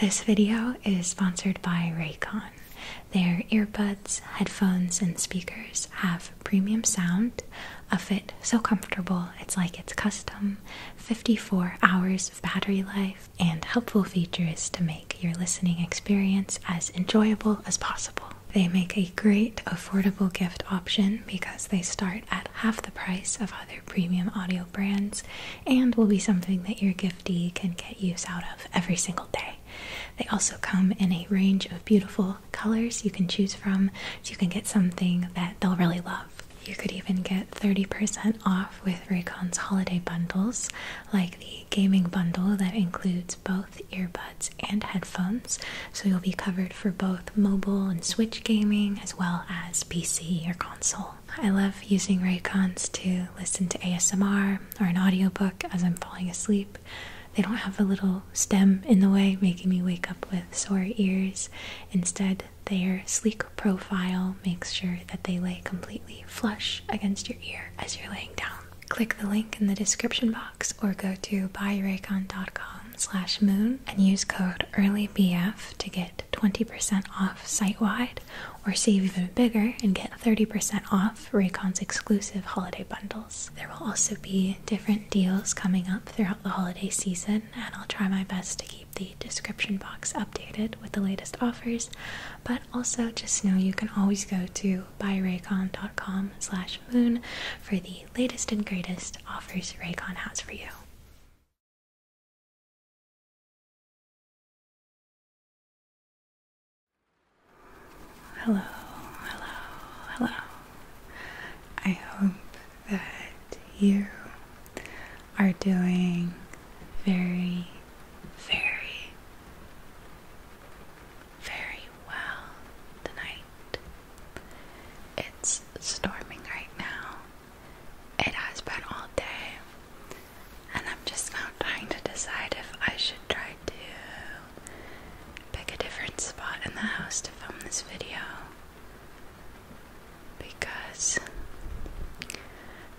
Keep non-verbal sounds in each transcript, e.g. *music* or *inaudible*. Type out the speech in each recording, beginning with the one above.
This video is sponsored by Raycon. Their earbuds, headphones, and speakers have premium sound, a fit so comfortable it's like it's custom, 54 hours of battery life, and helpful features to make your listening experience as enjoyable as possible. They make a great affordable gift option because they start at half the price of other premium audio brands and will be something that you're can get use out of every single day. They also come in a range of beautiful colors you can choose from, so you can get something that they'll really love. You could even get 30% off with Raycon's holiday bundles, like the gaming bundle that includes both earbuds and headphones. So you'll be covered for both mobile and Switch gaming as well as PC or console. I love using Raycons to listen to ASMR or an audiobook as I'm falling asleep. They don't have a little stem in the way, making me wake up with sore ears. Instead, their sleek profile makes sure that they lay completely flush against your ear as you're laying down. Click the link in the description box or go to buyraycon.com moon and use code EARLYBF to get 20% off site wide, or save even bigger and get 30% off Raycon's exclusive holiday bundles. There will also be different deals coming up throughout the holiday season, and I'll try my best to keep the description box updated with the latest offers. But also, just know you can always go to buyraycon.com/moon for the latest and greatest offers Raycon has for you. Hello, hello, hello. I hope that you are doing very, very, very well tonight. It's storming right now. It has been all day, and I'm just now trying to decide if I should try to pick a different spot in the house to film this video. Because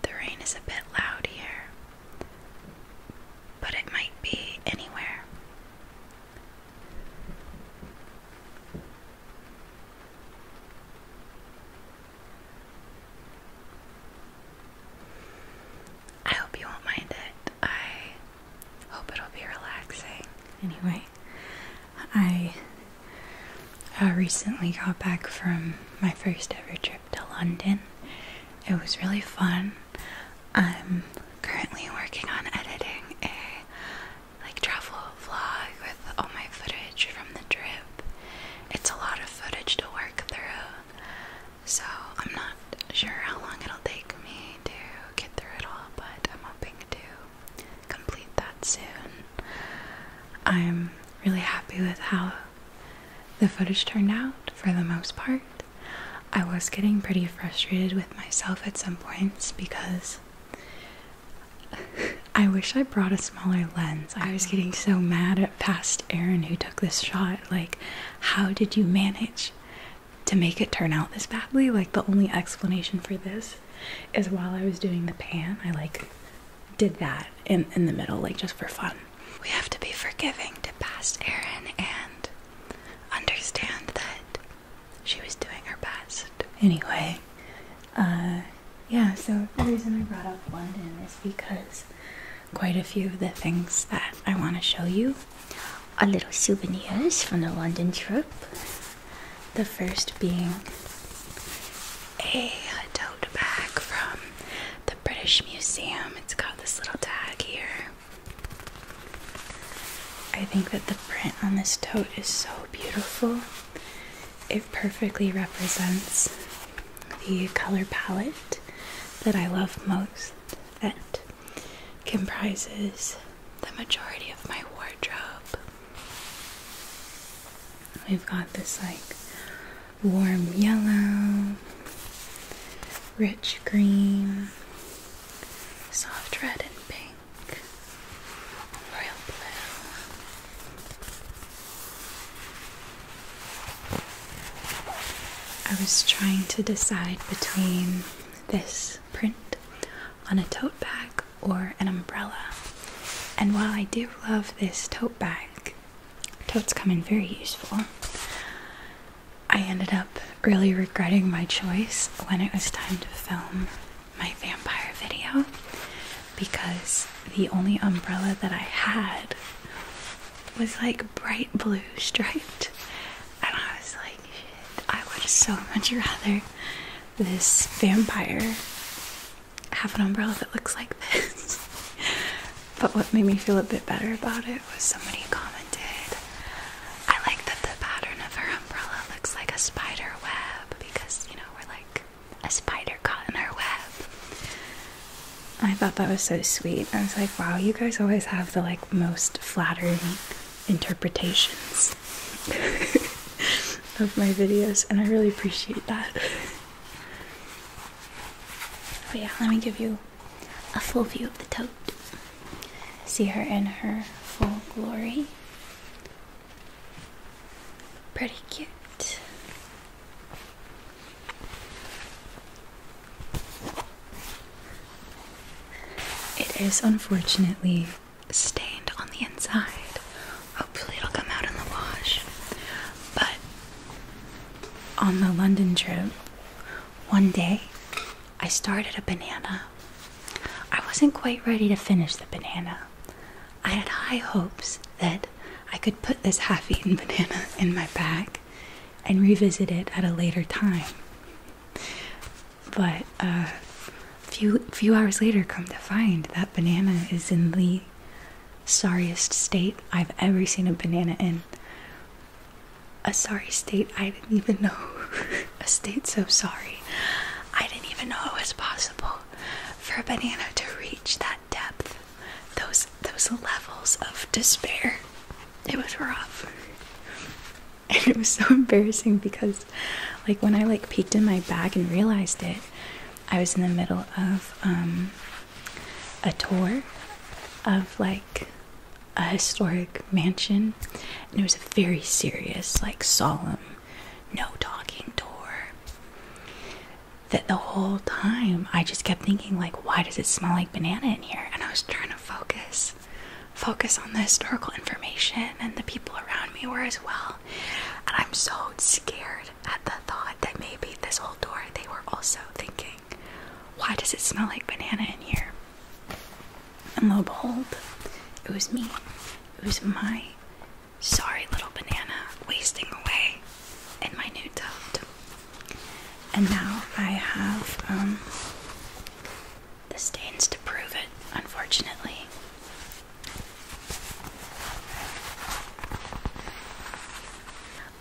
the rain is a bit loud here, but it might be anywhere. I hope you won't mind it. I hope it'll be relaxing. Anyway, I uh, recently got back from my first ever trip to London. It was really fun. I'm currently working on editing a like travel vlog with all my footage from the trip. It's a lot of footage to work through, so I'm not sure how long it'll take me to get through it all, but I'm hoping to complete that soon. I'm really happy with how the footage turned out for the most part. I was getting pretty frustrated with myself at some points because *laughs* I wish I brought a smaller lens. I was getting so mad at past Erin who took this shot. Like, how did you manage to make it turn out this badly? Like, the only explanation for this is while I was doing the pan, I like did that in, in the middle, like just for fun. We have to be forgiving to past Erin and understand that she was doing her best. Anyway, uh, yeah, so the reason I brought up London is because quite a few of the things that I want to show you are little souvenirs from the London trip. The first being a tote bag from the British Museum. It's got this little tag here. I think that the print on this tote is so beautiful. It perfectly represents the color palette that I love most that comprises the majority of my wardrobe. We've got this like warm yellow, rich green, soft red and pink, royal blue. I was trying to decide between this print on a tote bag or an umbrella. And while I do love this tote bag, totes come in very useful. I ended up really regretting my choice when it was time to film my vampire video because the only umbrella that I had was like bright blue striped, and I was like, I would so much rather this vampire have an umbrella that looks like this. *laughs* but what made me feel a bit better about it was somebody commented, I like that the pattern of her umbrella looks like a spider web because, you know, we're like a spider caught in her web. I thought that was so sweet. I was like, wow, you guys always have the like most flattering interpretations *laughs* of my videos, and I really appreciate that. But yeah, let me give you a full view of the tote. See her in her full glory. Pretty cute. It is unfortunately stained on the inside. Hopefully, it'll come out in the wash. But on the London trip, one day I started a banana. I wasn't quite ready to finish the banana. I had high hopes that I could put this half *laughs* eaten banana in my bag and revisit it at a later time. But a uh, few, few hours later, come to find that banana is in the sorriest state I've ever seen a banana in. A sorry state I didn't even know. *laughs* a state so sorry. I didn't even know it was possible for a banana to reach that depth those those levels of despair. It was rough. And it was so embarrassing because like when I like peeked in my bag and realized it, I was in the middle of um a tour of like a historic mansion and it was a very serious, like solemn, no talking tour that the whole time I just kept thinking like why does it smell like banana in here and I was trying to focus focus on the historical information and the people around me were as well and I'm so scared at the thought that maybe this old door they were also thinking why does it smell like banana in here and lo and behold it was me it was my sorry little banana wasting away in my new tote and now I have um, the stains to prove it, unfortunately.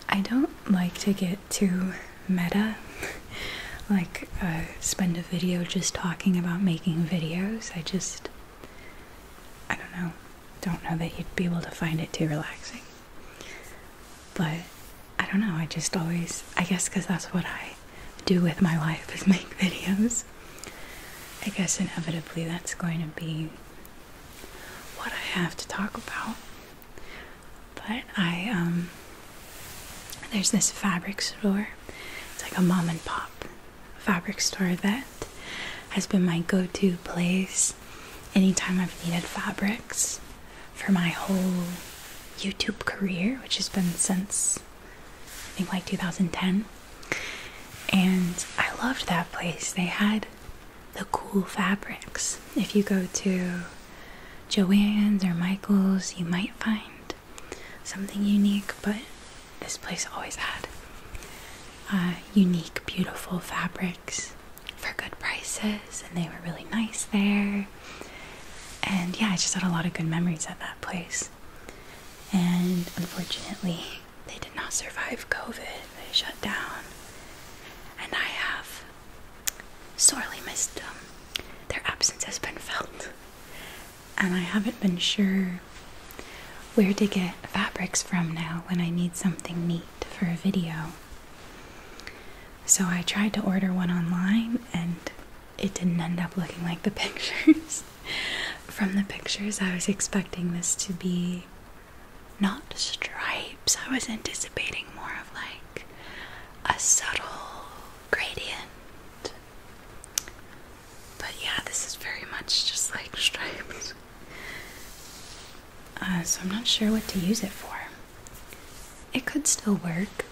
I don't like to get too meta, *laughs* like spend a video just talking about making videos. I just, I don't know, don't know that you'd be able to find it too relaxing. But I don't know, I just always, I guess because that's what I do with my life is *laughs* make videos. I guess inevitably that's going to be what I have to talk about. But I, um, there's this fabric store. It's like a mom and pop fabric store that has been my go to place anytime I've needed fabrics for my whole YouTube career, which has been since I think like 2010. And I loved that place. They had the cool fabrics. If you go to Joanne's or Michael's, you might find something unique, but this place always had uh, unique, beautiful fabric for good prices, and they were really nice there. And yeah, I just had a lot of good memories at that place. And unfortunately, they did not survive COVID, they shut down. And I have sorely missed them. Their absence has been felt. And I haven't been sure where to get fabrics from now when I need something neat for a video. So I tried to order one online and it didn't end up looking like the *laughs* pictures. From the pictures, I was expecting this to be not stripes, I was anticipating more of like a subtle gradient. But yeah, this is very much just like *laughs* stripes. Uh, so I'm not sure what to use it for. It could still work.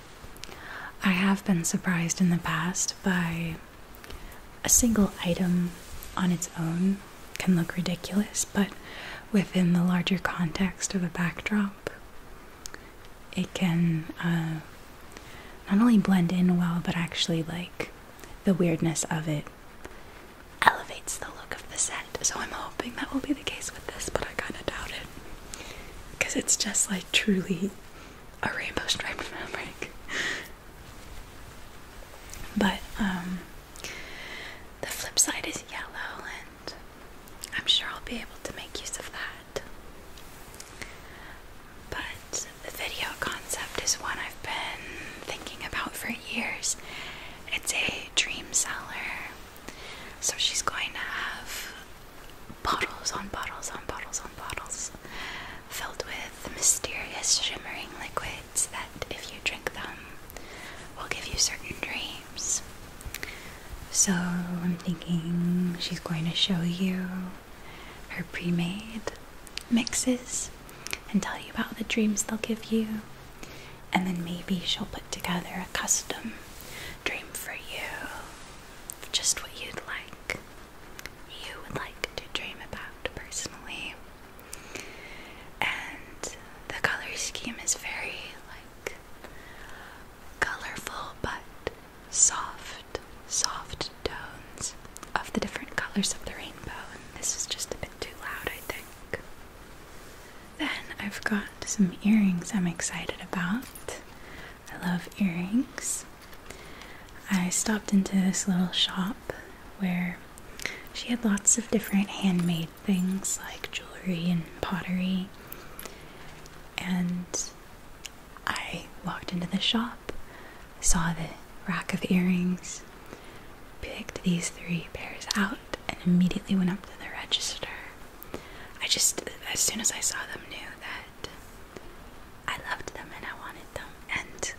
I have been surprised in the past by a single item on its own can look ridiculous, but within the larger context of a backdrop, it can uh, not only blend in well, but actually like the weirdness of it elevates the look of the set. So I'm hoping that will be the case with this, but I kind of doubt it because it's just like truly a rainbow striped *laughs* fabric. but um, the flip side is yellow, and I'm sure I'll be able to make use of that. But the video concept is one I've been thinking about for years. It's a dream seller so she's going to have bottles on bottles on bottles on bottles filled with mysterious shimmering liquids that, if you drink them, will give you certain dreams. So I'm thinking she's going to show you her pre made mixes and tell you about the dreams they'll give you. And then maybe she'll put together a custom dream for you. Just what you'd like. You would like to dream about personally. And the color scheme is very like colorful but soft, soft tones of the different colors of the rainbow. And this is just a bit too loud, I think. Then I've got some earrings I'm excited about. I love earrings. I stopped into this little shop where she had lots of different handmade things like jewelry and pottery. And I walked into the shop, saw the rack of earrings, picked these three pairs out, and immediately went up to the register I just, as soon as I saw them, knew that I loved them and I wanted them. And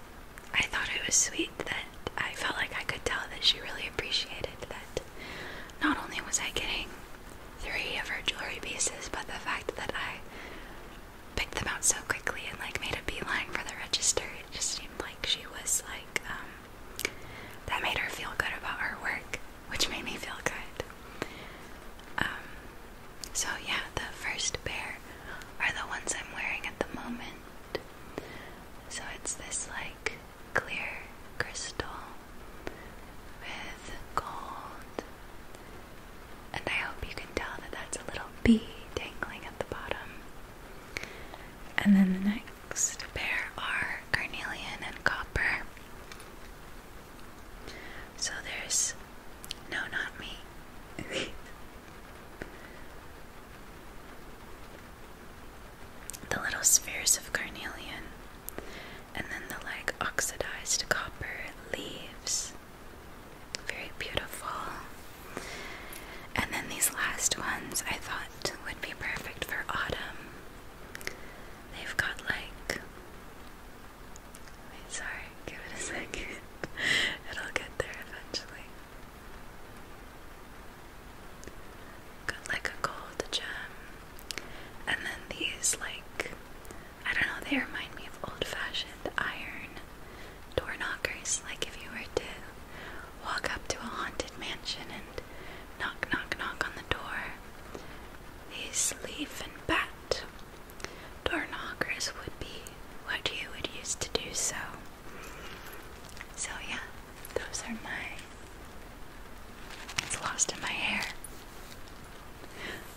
I thought it was sweet that I felt like I could tell that she really appreciated that not only was I getting three of her jewelry pieces, but the fact that I picked them out so quickly and like made a beeline for the register, it just seemed like she was like, um, that made her feel good about her work, which made me feel good. Um, so, yeah, the first pair are the ones I'm wearing at the moment. So, it's this like clear crystal with gold. And I hope you can tell that that's a little bee dangling at the bottom. And then the next the pair are carnelian and copper. So there's no, not me. the little spheres of carnelian, and then the like oxidized copper leaves. Very beautiful. And then these last ones I thought would be perfect for autumn. They've got like. Wait, sorry, give it a second. *laughs* It'll get there eventually. Got like a gold gem. And then these, like, I don't know, they remind me of old fashioned iron door knockers. Like, if you were to walk up to a haunted mansion and Knock, knock, knock on the door. He's leaf and bat. Door knockers would be what you would use to do so. So, yeah, those are my. It's lost in my hair.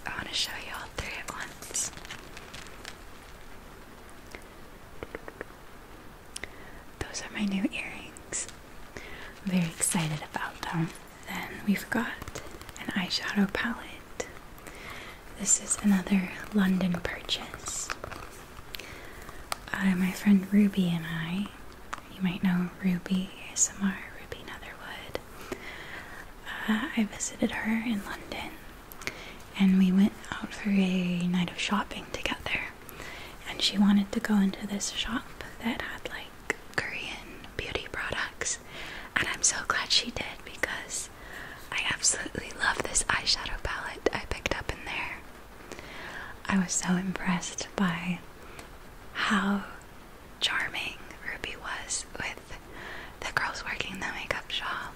I want to show you all three at once. Those are my new earrings. I'm very excited about them. Then we've got an eyeshadow palette. This is another London purchase. my friend Ruby and I, you might know Ruby Smr, Ruby Netherwood. Uh, I visited her in London and we went out for a night of shopping together and she wanted to go into this shop that had like Korean beauty products. And I'm so glad she did because I absolutely love this eyeshadow palette I picked up in there. I was so impressed by how charming Ruby was with the girls working in the makeup shop.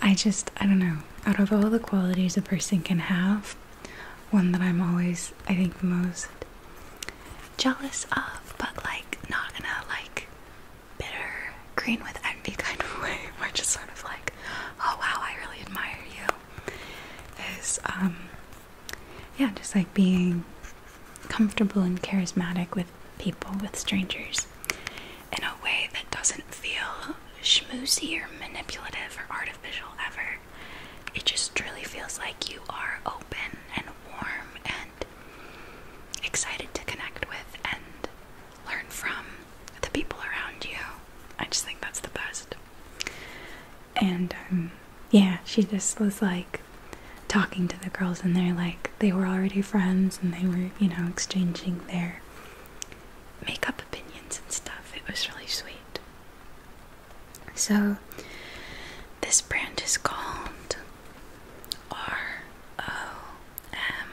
I just, I don't know, out of all the qualities a person can have, one that I'm always, I think, most jealous of, but like not in a like bitter, green with envy *laughs* kind of way, We're just sort of like, oh wow, I really admire you. Is um, yeah, just like being comfortable and charismatic with people, with strangers, in a way that doesn't feel schmoozy or manipulative or artificial ever. It just really feels like you are open and warm and excited to connect with and learn from the people around you. I just think that's the best. And um, yeah, she just was like talking to the girls, and they're like, they were already friends and they were, you know, exchanging their makeup opinions and stuff. It was really sweet. So this brand is called R O M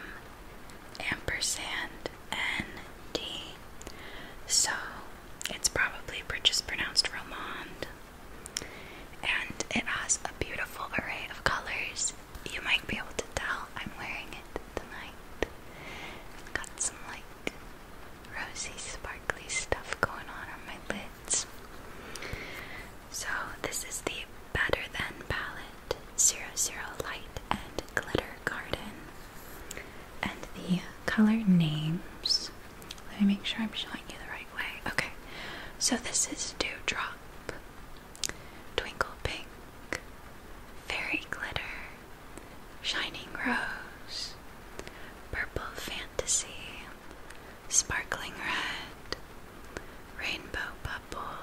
ampersand N D. So it's probably just pronounced Romand. And it has a beautiful array of colors. You might be able to tell I'm wearing it tonight. got some like rosy sparkly stuff going on on my lids. So this is the Better Than palette, 00 Light and Glitter Garden. And the color names, let me make sure I'm showing you the right way. Okay, so this is Dewdrop, Twinkle Pink, Fairy Glitter, Shining Rose, Purple Fantasy, Sparkling Red, Rainbow Bubble,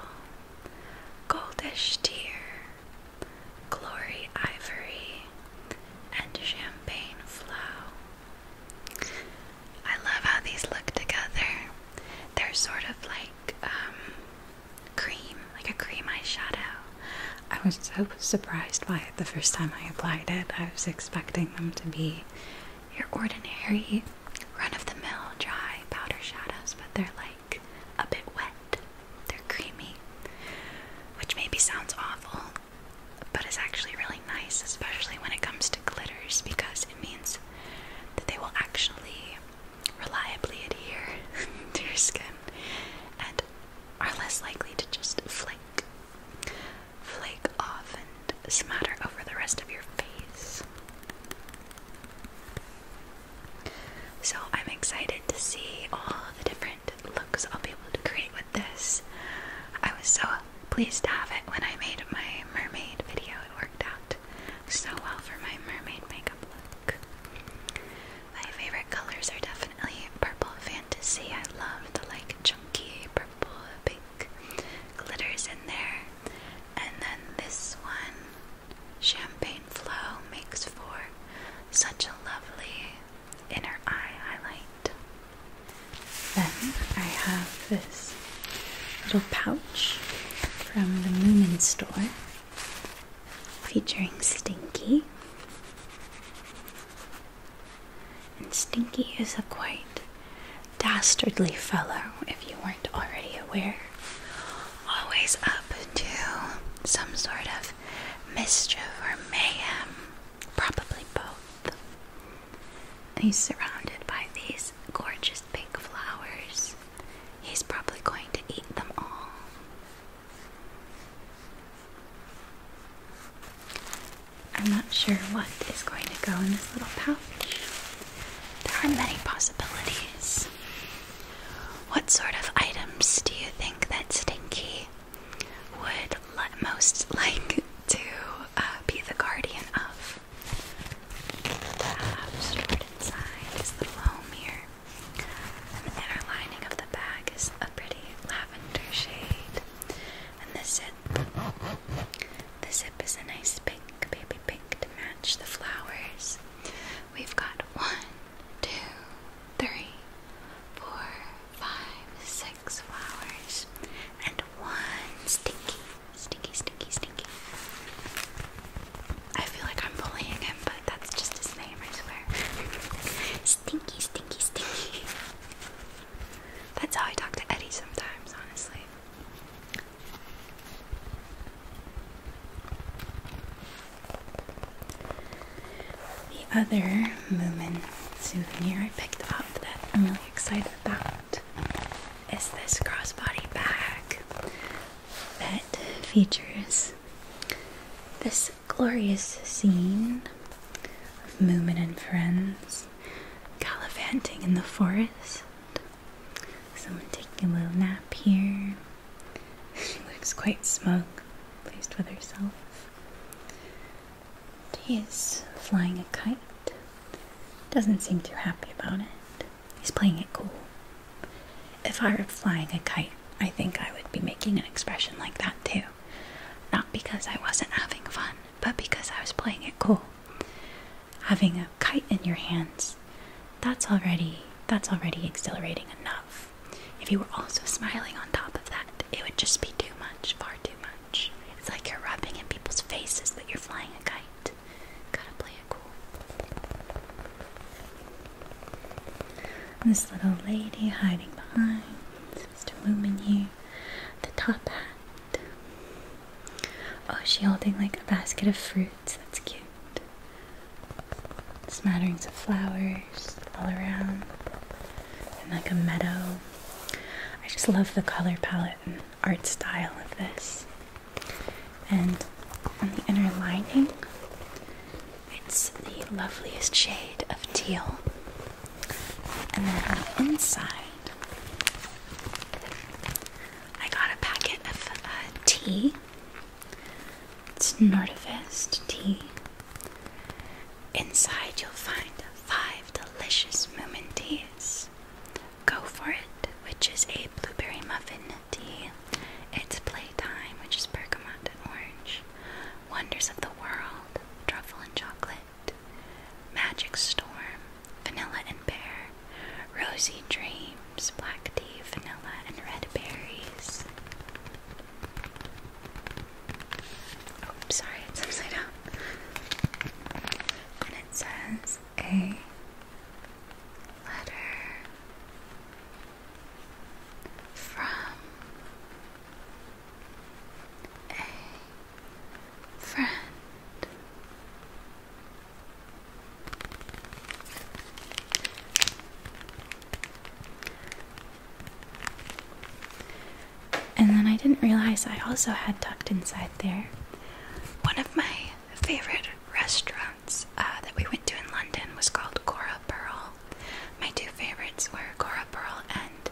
Goldish Tear, Glory Ivory, and Champagne Flow. I love how these look together. They're sort of like um, cream, like a cream eyeshadow, I was so surprised by it the first time I applied it. I was expecting them to be your ordinary run of the mill dry powder shadows, but they're like a bit wet. They're creamy, which maybe sounds awful, but it's actually really nice, especially when it comes to glitters because it means that they will actually reliably adhere *laughs* to your skin and are less likely to just flake flake off and smatter over the rest of your face. So I'm excited to see all the different looks I'll be able to create with this. I was so pleased to have it when I made my mermaid video. It worked out so well for my mermaid makeup look. My favorite colors are definitely purple fantasy. I love the like chunky purple pink glitters in there. And then this one, Champagne Flow, makes for such a lovely inner eye highlight. Then I have this little pouch from the Moomin store featuring Stinky. And Stinky is a quite dastardly fellow, if you weren't already aware. Always up to some sort of mischief or mayhem, probably both. He's surrounded by these gorgeous pink flowers. He's probably going to eat them all. I'm not sure what is going to go in this little pouch. There are many possibilities. What sort of items do you think that Stinky would most *laughs* like to uh, be the guardian of? stored inside his little home here. the inner lining of the bag is a pretty lavender shade. And the zip. The zip is a nice pink, baby pink to match the flowers. We've got one, two, three, four, five, six flowers, and one stinky, stinky, stinky, stinky. I feel like I'm bullying him, but that's just his name, I swear. *laughs* stinky, stinky, stinky. That's how I talk to Eddie sometimes, honestly. The other Moomin souvenir I picked up that I'm really excited about is this crossbody bag that features this glorious scene Moomin and friends gallivanting in the forest. Someone taking a little nap here. she *laughs* looks quite smug, pleased with herself. He is flying a kite. Doesn't seem too happy about it. He's playing it cool. If I were flying a kite, I think I would be making an expression like that too. Not because I wasn't having fun, but because I was playing it cool. Having a kite in your hands, that's already that's already exhilarating enough. If you were also smiling on top of that, it would just be too much, far too much. It's like you're rubbing in people's faces that you're flying a kite. Gotta play it cool. This little lady hiding behind Mr. Lumen here the top hat. Oh, she's holding like a basket of fruits? That's cute. Smatterings of flowers all around, and like a meadow. I just love the color palette and art style of this. And on the inner lining, it's the loveliest shade of teal. And then on the inside, I got a packet of uh, tea. It's Nordivest tea. Inside, you'll find five delicious moomin teas. Go for it, which is a blueberry muffin tea. It's playtime, which is bergamot and orange. Wonders of the world, truffle and chocolate. Magic Storm, Vanilla and Pear, Rosy Dreams, Black Tea, Vanilla and Red Berries. Oh, sorry, it's upside down. And it says a letter from a friend. And then I didn't realize I also had tucked inside there one of my favorite restaurants uh, that we went to in London was called Cora Pearl. My two favorites were Cora Pearl and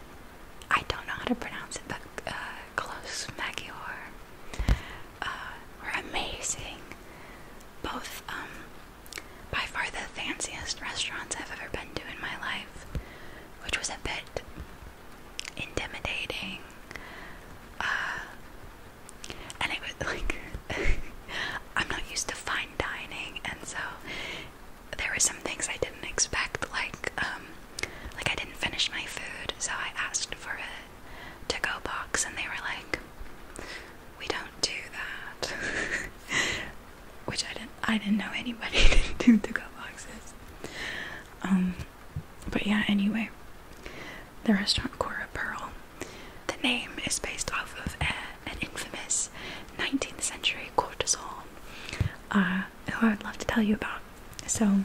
I don't know how to pronounce it, but uh, close Maggiore uh, were amazing. Both, um, by far the fanciest restaurants I've ever been to in my life, which was a bit intimidating. Uh, and it was like, *laughs* I'm not used to fine dining, and so there were some things I didn't expect, like um, like I didn't finish my food, so I asked for a to-go box, and they were like, "We don't do that," *laughs* which I didn't. I didn't know anybody did *laughs* do to-go boxes. Um, but yeah. Anyway, the restaurant Cora Pearl. The name is based off of an infamous 19th century courtesan. Uh, who I would love to tell you about so,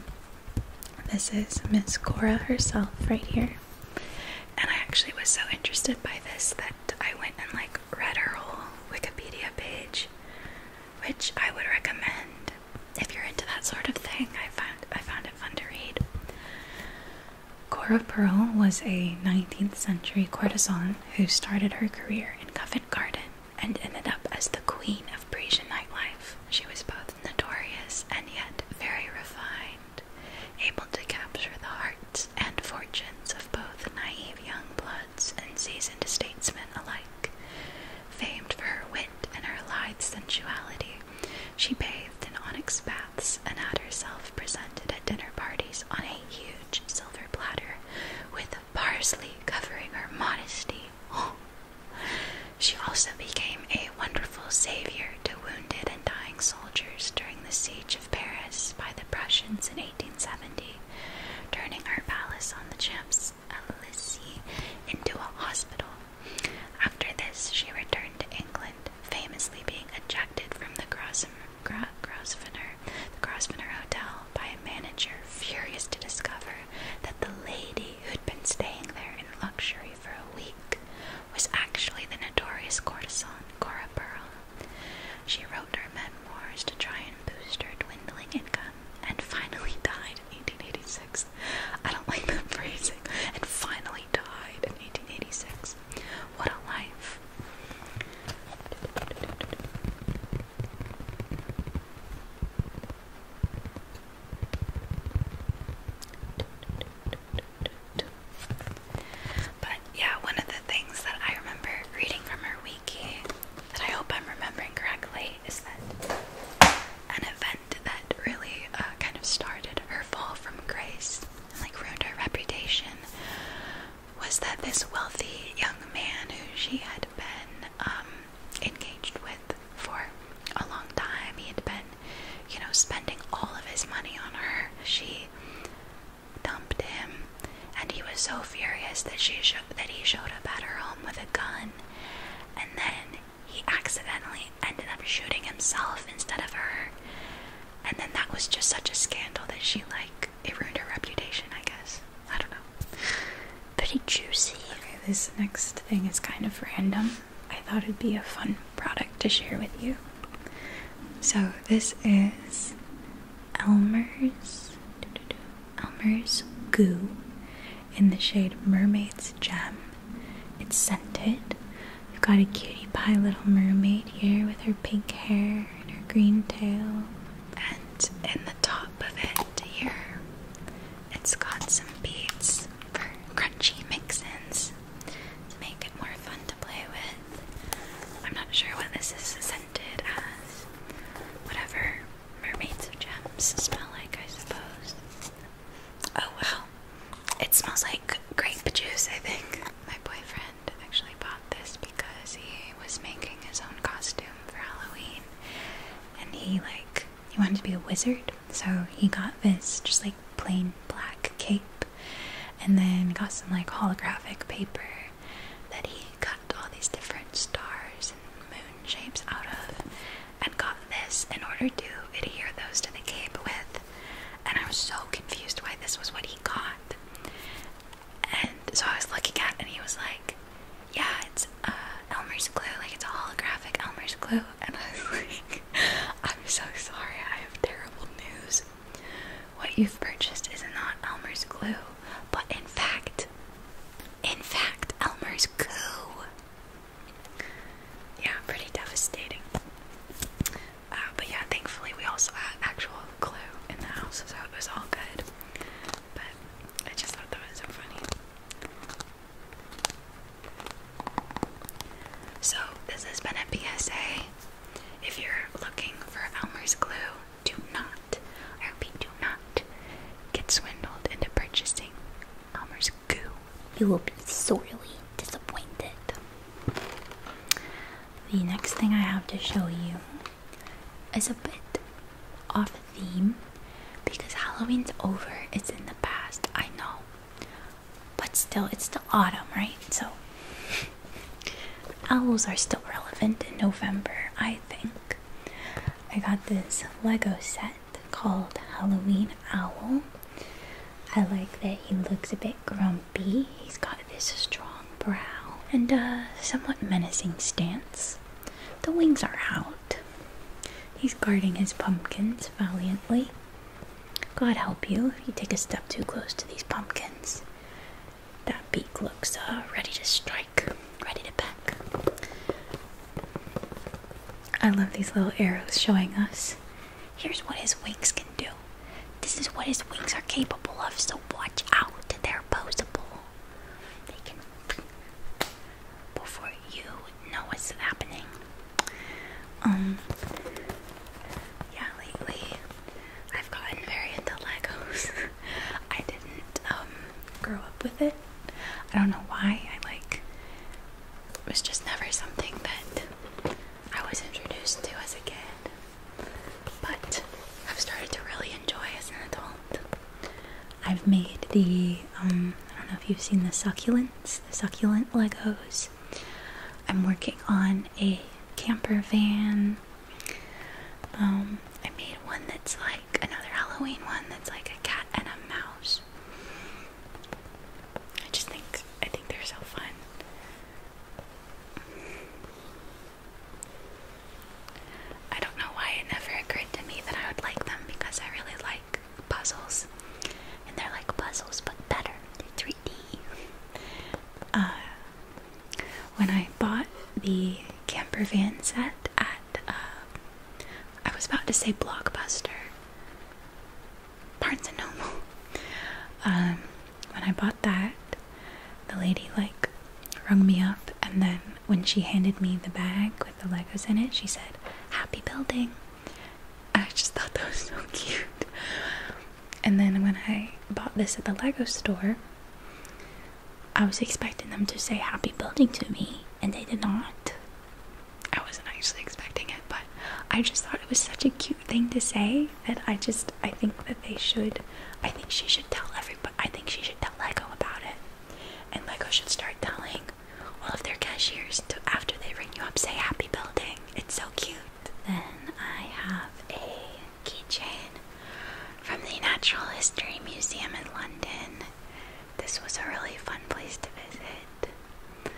this is Miss Cora herself right here. And I actually was so interested by this that I went and like read her whole Wikipedia page, which I would recommend if you're into that sort of thing. I found I found it fun to read. Cora Pearl was a 19th century courtesan who started her career in Covent Garden and ended up as the queen of Parisian nightlife. She was both notorious and yet very refined, able to capture the hearts and fortunes of both naive young bloods and seasoned statesmen alike. Famed for her wit and her lithe sensuality, she bathed in onyx baths and had herself presented at dinner parties on a huge silver platter with parsley covering her modesty *gasps* She also became a wonderful savior to wounded and dying soldiers during the siege of Paris by the Prussians in 1870, turning her palace on the Champs Elysees into a hospital. After this, she returned to England, famously being ejected from the Grosvenor, the Grosvenor Hotel by a manager furious to discover that the lady who'd been staying there in luxury for a week was actually the notorious courtesan Cora Pearl, She wrote her memoirs to try and boost her dwindling income and finally died in 1886. I don't like that phrasing. And finally died in 1886. What a life. But yeah, one of the things that I remember reading from her wiki that I hope I'm remembering correctly is that an event that really uh, kind of started her fall from grace and like ruined her reputation was that this wealthy young man who she had been um, engaged with for a long time. He had been, you know, spending all of his money on her. She dumped him, and he was so furious that she sh that he showed up at her home with a gun, and then he accidentally ended up shooting himself instead of her. And then that was just such a scandal that she like it ruined her reputation, I guess. I don't know pretty juicy. this next thing is kind of random. I thought it'd be a fun product to share with you. So this is Elmer's Elmer's Goo in the shade Mermaid's Gem. It's scented. You've got a cutie pie little mermaid here with her pink hair and her green tail. And in the top of it here, it's got some beads for crunchy mix-ins to make it more fun to play with. I'm not sure what this is scented as. Whatever mermaids of gems smell like, I suppose. Oh wow. It smells like grape juice, I think. My boyfriend actually bought this because he was making his own costume for Halloween. And he like he wanted to be a wizard, so he got this just like plain black cape and then got some like holographic paper that he cut all these different stars and moon shapes out of and got this in order to adhere those to the cape with. And I was so confused why this was what he got. And so I was looking at and he was like yeah, it's uh, Elmer's glue, like it's a holographic Elmer's glue. *laughs* And I was like, I'm so sorry, I have terrible news. What you've purchased is not Elmer's glue, but in fact, in fact, Elmer's glue." Yeah, pretty devastating. Uh, but yeah, thankfully we also had actual glue in the house, so it was all good. But I just thought that was so funny. So, this has been a PSA. If you're looking for Elmer's glue, do not, I repeat, do not get swindled into purchasing Elmer's goo. You will be sorely disappointed. The next thing I have to show you is a bit off theme because Halloween's over, it's in the past, I know. But still, it's the autumn, right? So, owls are still relevant in November, I think. I got this Lego set called Halloween Owl. I like that he looks a bit grumpy. He's got this strong brow and a somewhat menacing stance. The wings are out. He's guarding his pumpkins valiantly. God help you if you take a step too close to these pumpkins. That beak looks uh, ready to strike, ready to peck. I love these little arrows showing us. Here's what his wings can do. This is what his wings are capable of, so watch out. They're posable. They can before you know what's happening. Um, yeah, lately I've gotten very into Legos. *laughs* I didn't, um, grow up with it. I don't know why. I like, it was just never something that I was introduced to as a kid. But I've started to really enjoy as an adult. I've made the um, I don't know if you've seen the succulents, the succulent Legos. I'm working on a camper van. Um, I made one that's like another Halloween one that's like a cat and a mouse. I just think I think they're so fun. I don't know why it never occurred to me that I would like them because I really puzzles, and they're like puzzles but better. they 3D. Uh, when I bought the camper van set at, uh, I was about to say Blockbuster, Barnes and Noble. *laughs* Um, when I bought that, the lady like rung me up and then when she handed me the bag with the Legos in it, she said, Happy building. I just thought that was so cute. And then when I bought this at the Lego store, I was expecting them to say happy building to me, and they did not. I wasn't actually expecting it, but I just thought it was such a cute thing to say that I just I think that they should I think she should tell everybody I think she should tell Lego about it. And Lego should start telling all of their cashiers after they ring you up say happy building. It's so cute. Then I have a keychain from the Natural History Museum in London. This was a really fun place to visit.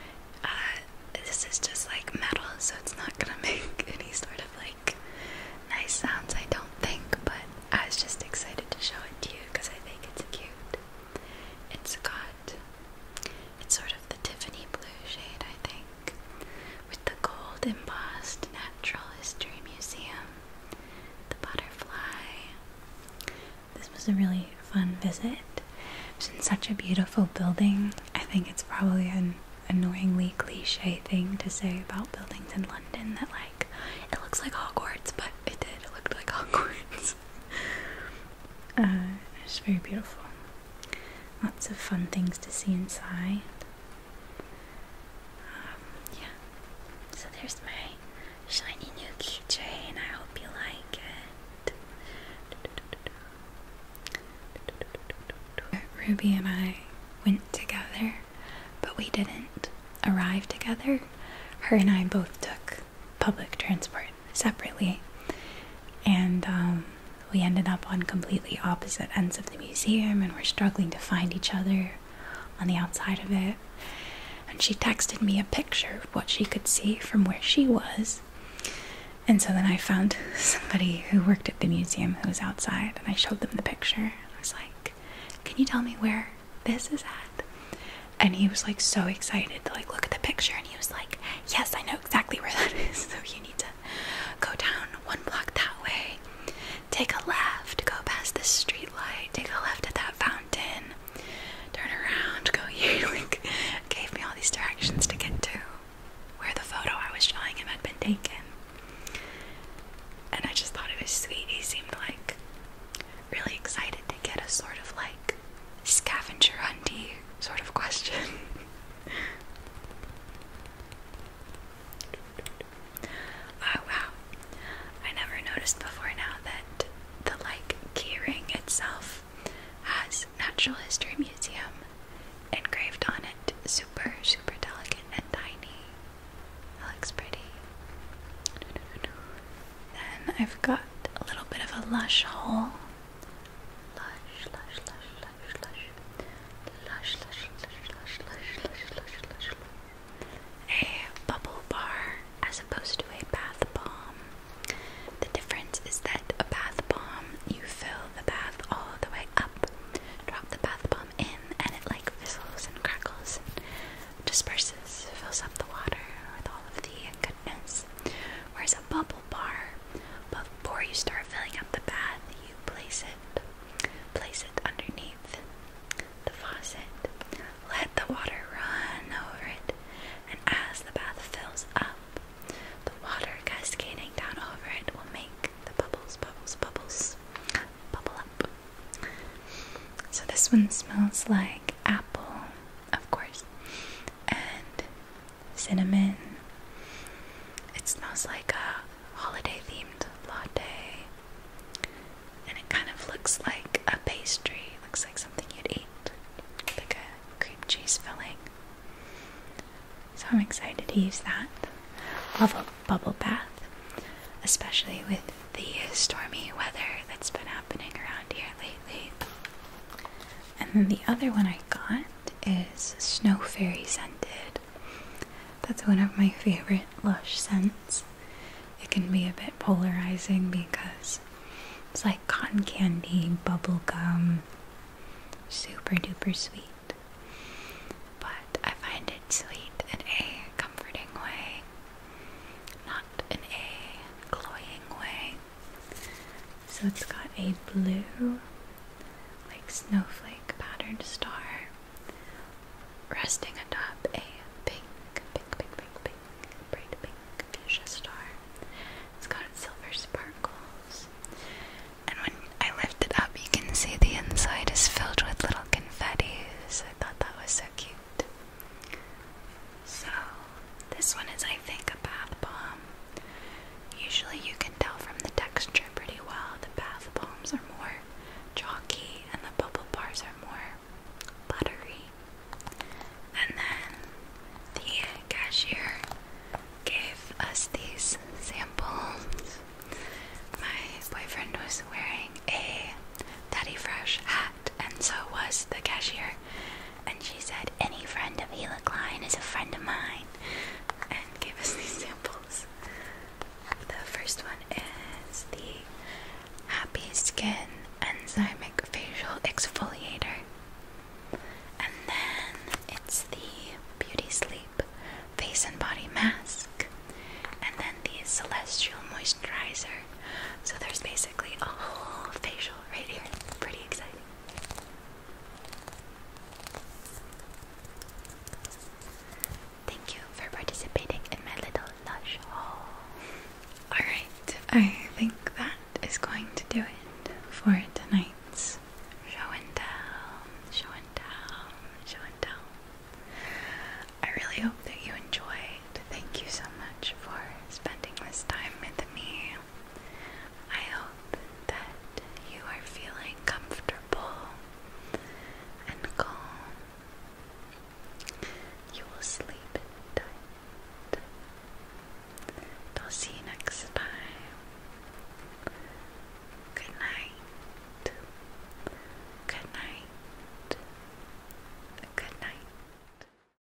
Uh, this is just like metal, so it's not gonna *laughs* make any sort of like nice sounds, I don't think, but I was just excited to show it to you because I think it's cute. It's got it's sort of the Tiffany blue shade, I think, with the gold embossed Natural History Museum, the butterfly. This was a really fun visit. It's in such a beautiful building. I think it's probably an annoyingly cliche thing to say about buildings in London that, like, it looks like Hogwarts, but it did. look looked like *laughs* Hogwarts. *laughs* Uh, it's very beautiful. Lots of fun things to see inside. Um, yeah. So there's my shiny new keychain. I hope you like it. Ruby and I went together, but we didn't arrive together. Her and I both took public transport separately, and um, we ended up on completely opposite ends of the museum, and we're struggling to find each other on the outside of it. And she texted me a picture of what she could see from where she was. And so then I found *laughs* somebody who worked at the museum who was outside, and I showed them the picture. I was like, Can you tell me where this is at and he was like so excited to like look at the picture and he was like yes i know exactly where that is *laughs* so you need to go down one block that way take a left go past the street light take a left at that fountain turn around go *laughs* here like gave me all these directions to get to where the photo i was showing him had been taken and i just thought it was sweet he seemed like really excited to get a sort of like scavenger hunty sort of question. *laughs* oh wow. I never noticed before now that the like keyring itself has Natural History Museum engraved on it. Super, super delicate and tiny. That looks pretty. Then I've got a little bit of a lush hole. A bubble bar as opposed to a bath bomb. The difference is that a bath bomb, you fill the bath all the way up, drop the bath bomb in, and it like fizzles and crackles disperses, fills up the water with all of the goodness. Whereas a bubble bar, before you start filling up the bath, you place it, place it underneath the faucet, let the water run over it, and as the bath fills up, the water cascading down over it will make the bubbles, bubbles, bubbles bubble up. So this one smells like apple of course, and cinnamon. It smells like a holiday themed latte, and it kind of looks like a pastry, looks like something you'd eat, like a cream cheese filling. So I'm excited to use that. Love a bubble bath, especially with the stormy weather that's been happening around here lately. And then the other one I got is Snow Fairy Scented. That's one of my favorite Lush scents. It can be a bit polarizing because it's like cotton candy, bubble gum, super duper sweet. But I find it sweet in a comforting way, not in a cloying way. So it's got a blue, like snowflake patterned star resting atop a pink, pink, pink, pink, pink, bright pink fuchsia star. It's got silver sparkles. And when I lift it up, you can see the inside is filled with little confetti. I thought that was so cute. So, this one is, I think, a bath bomb. Usually, you can tell from the texture pretty well. The bath bombs are more chalky, and the bubble bars are more buttery. And then the cashier gave us these samples. My boyfriend was wearing a Daddy Fresh hat and so was the cashier. And she said, Any friend of Hela Klein is a friend of mine, and gave us *laughs* these samples. The first one is the Happy Skin Enzymic Facial Exfoliator, and then it's the Beauty Sleep Face and Body Mask, and then the Celestial Moisturizer. So there's basically a whole facial right here. Pretty exciting. Thank you for participating in my little lush haul. Alright, I think that is going to do it for tonight's show and tell. Show and tell. Show and tell. I really hope that you enjoy Thank you so much for spending this time with me. I hope that you are feeling comfortable and calm. You will sleep tight. I'll see you next time. Good night. Good night. Good night.